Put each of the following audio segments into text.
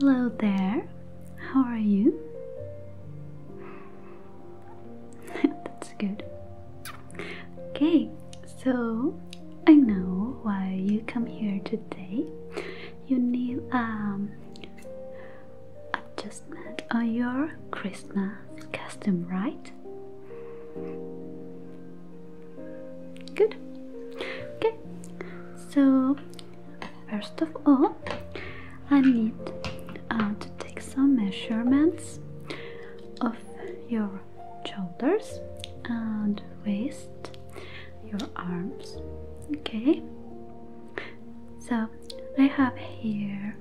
Hello there, how are you? That's good. Okay, so I know why you come here today. You need um I just adjustment on your Christmas costume, right? Good. Okay, so first of all, I need uh, to take some measurements of your shoulders and waist, your arms. Okay, so I have here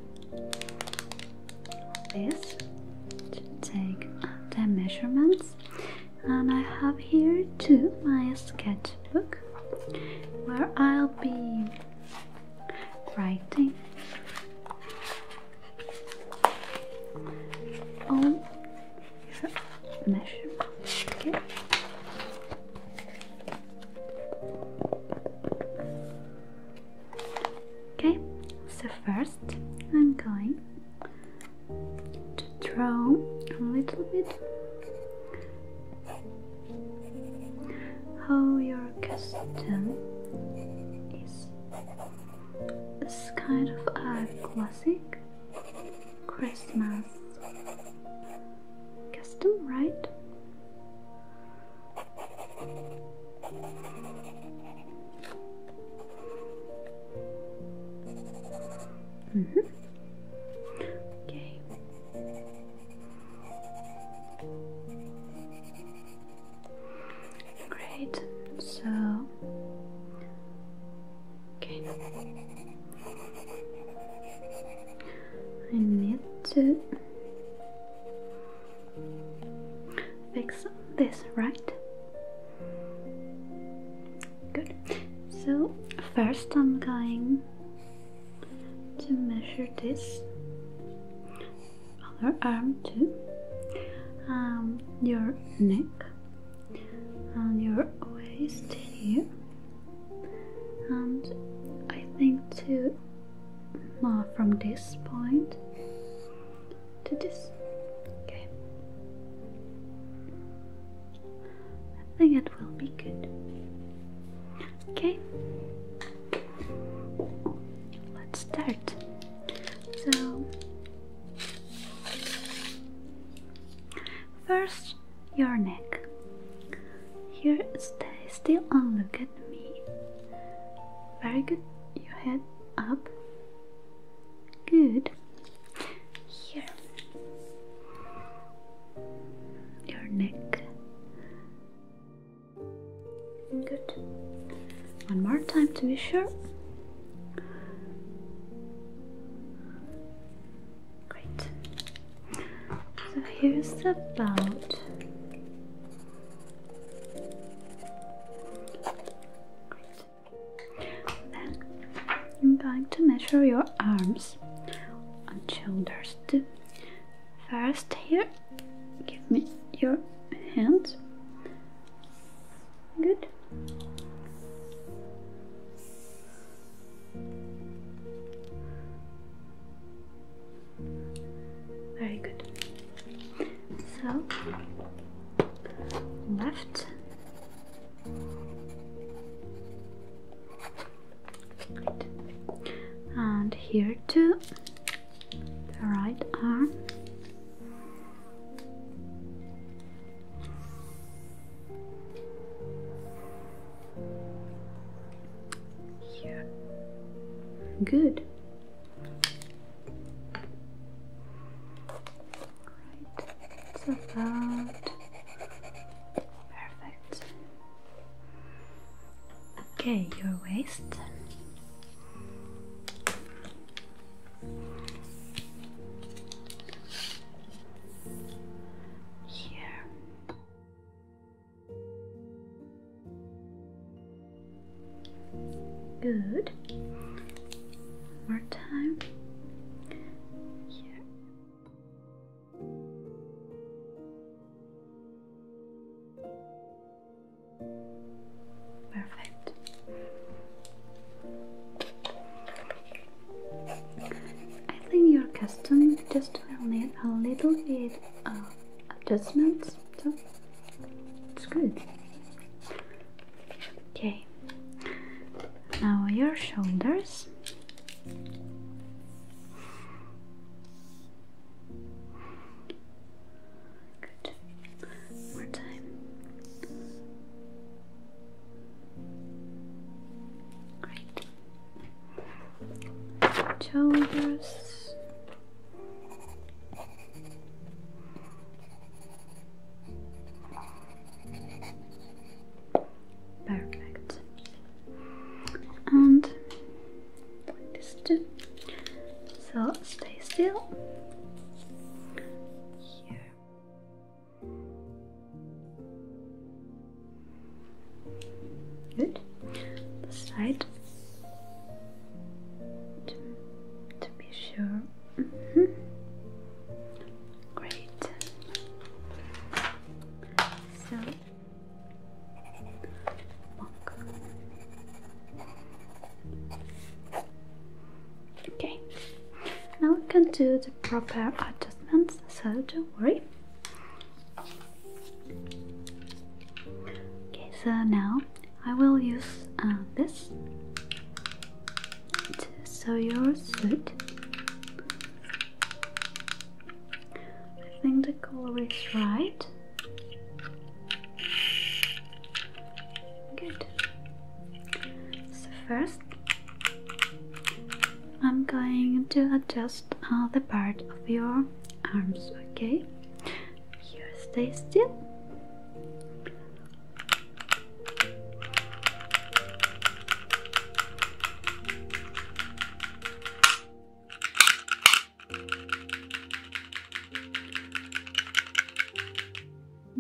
this to take the measurements and I have here too my sketchbook where I'll be writing all your measurements Okay, so first I'm going to draw a little bit how your costume is. It's kind of a classic Christmas custom, right? Mm -hmm. Okay. Great. So okay. I need to Fix this, right? Good. So, first I'm going to measure this other arm too. Um, your neck and your waist here and I think to now from this point to this okay I think it will be good okay let's start so first your neck here, stay still and look at me. Very good. Your head up. Good. Here. Your neck. Good. One more time to be sure. Great. So here's the belt. Then I'm going to measure your arms and shoulders too. First, here, give me your hands. Good. Very good. So, left, and here too, the right arm. Yeah. Good. Right. It's about perfect. Okay, your waist. Here. Good. One more time. Perfect. I think your custom just will need a little bit of adjustments, so it's good. Okay, now your shoulders. Good. More time. Great shoulders perfect and so stay still Good. The side. To, be sure. Mm-hmm. Great. So. Okay. Now we can do the proper adjustments, so don't worry. Okay, so now I will use uh, this to sew your suit. I think the color is right. Good. So first I'm going to adjust uh, the part of your arms, okay? Here, stay still.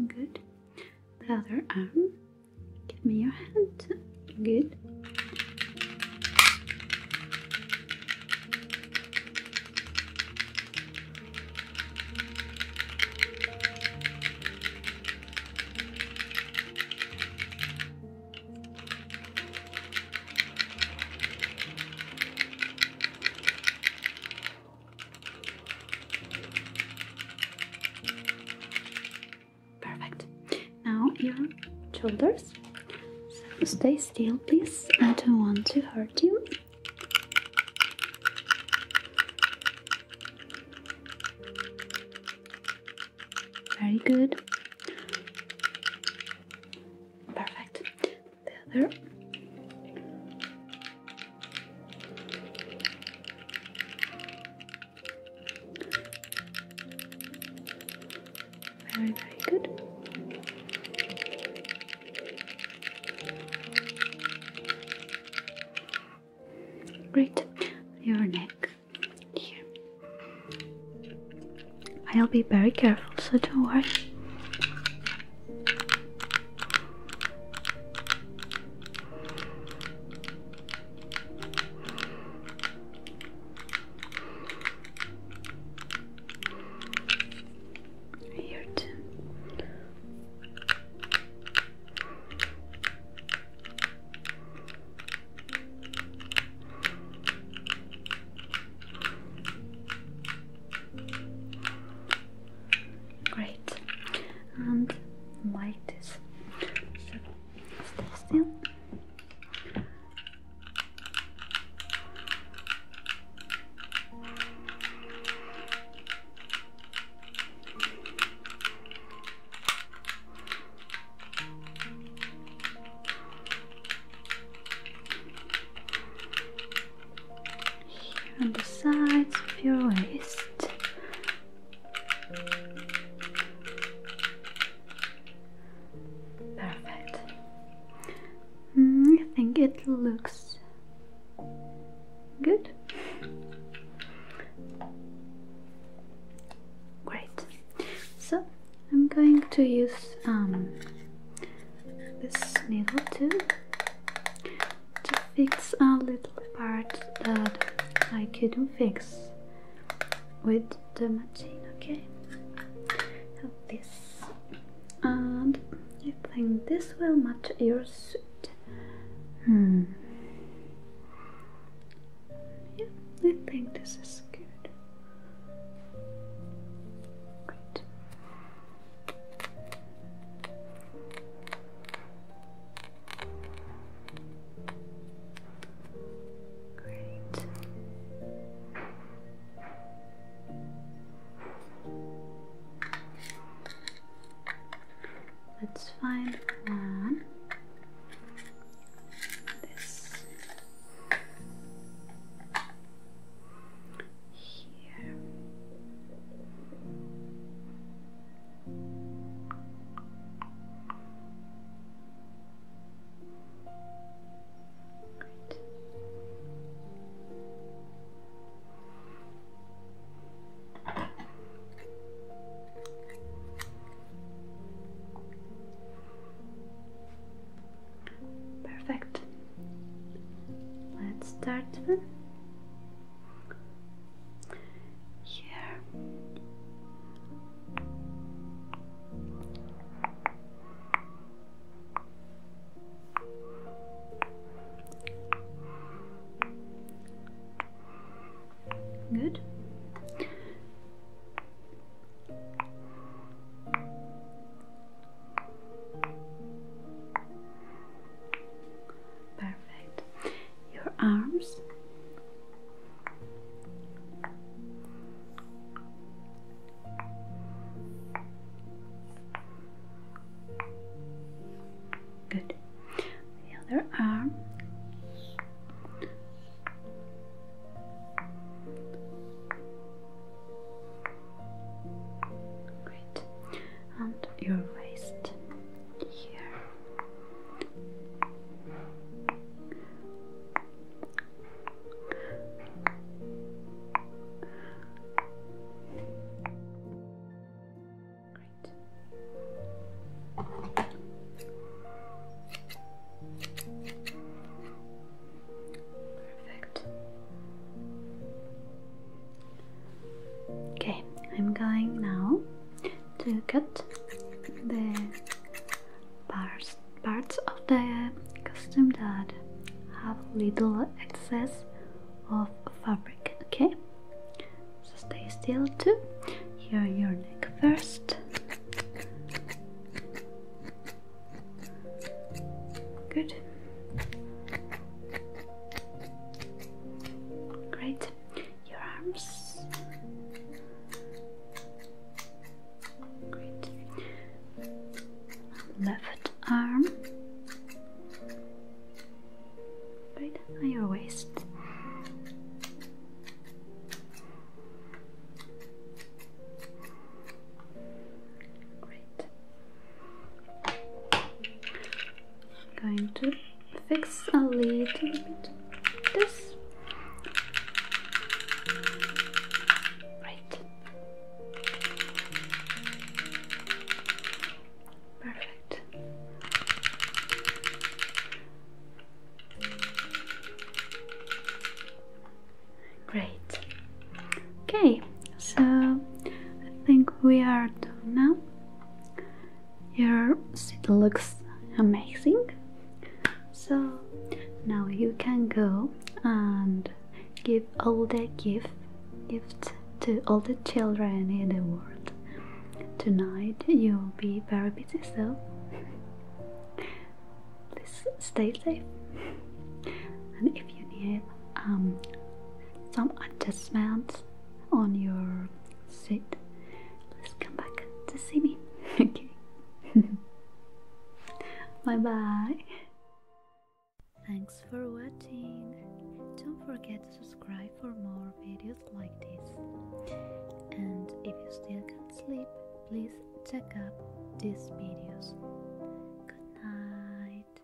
Good. The other arm. Give me your hand. Good. Perfect. Now your shoulders. stay still, please. I don't want to hurt you. Very good. Perfect. The other. Very, very good. Great. Your neck here. I'll be very careful, so don't worry. Here too. Great, and like this. Stay still. Here on the sides of your waist, Perfect. Mm, I think it looks good. Great. So I'm going to use um, this needle too to fix a little part that I couldn't fix with the machine, okay? this, and I think this will match your suit. Hmm. Yeah, I think this is good. Great. Great. Let's find one. This here. Perfect. Let's start here. Good. Perfect your arms. Good. The other arm. Great. And your waist here. Great. Perfect. Okay, I'm going now to cut the parts, parts of the costume that have little excess of fabric, okay? So stay still too. Here your neck first. Good. Great your arms. Left arm. Right on your waist. Great. I'm going to fix a little bit this. Right. Perfect. Great. Okay, so I think we are done now. Your seat looks amazing. So now you can go and give all the gift gifts to all the children in the world. Tonight you'll be very busy so please stay safe. And if you need um, some adjustments on your sit. Let's come back to see me. Okay. bye bye. Thanks for watching. Don't forget to subscribe for more videos like this. And if you still can't sleep, please check out these videos. Good night.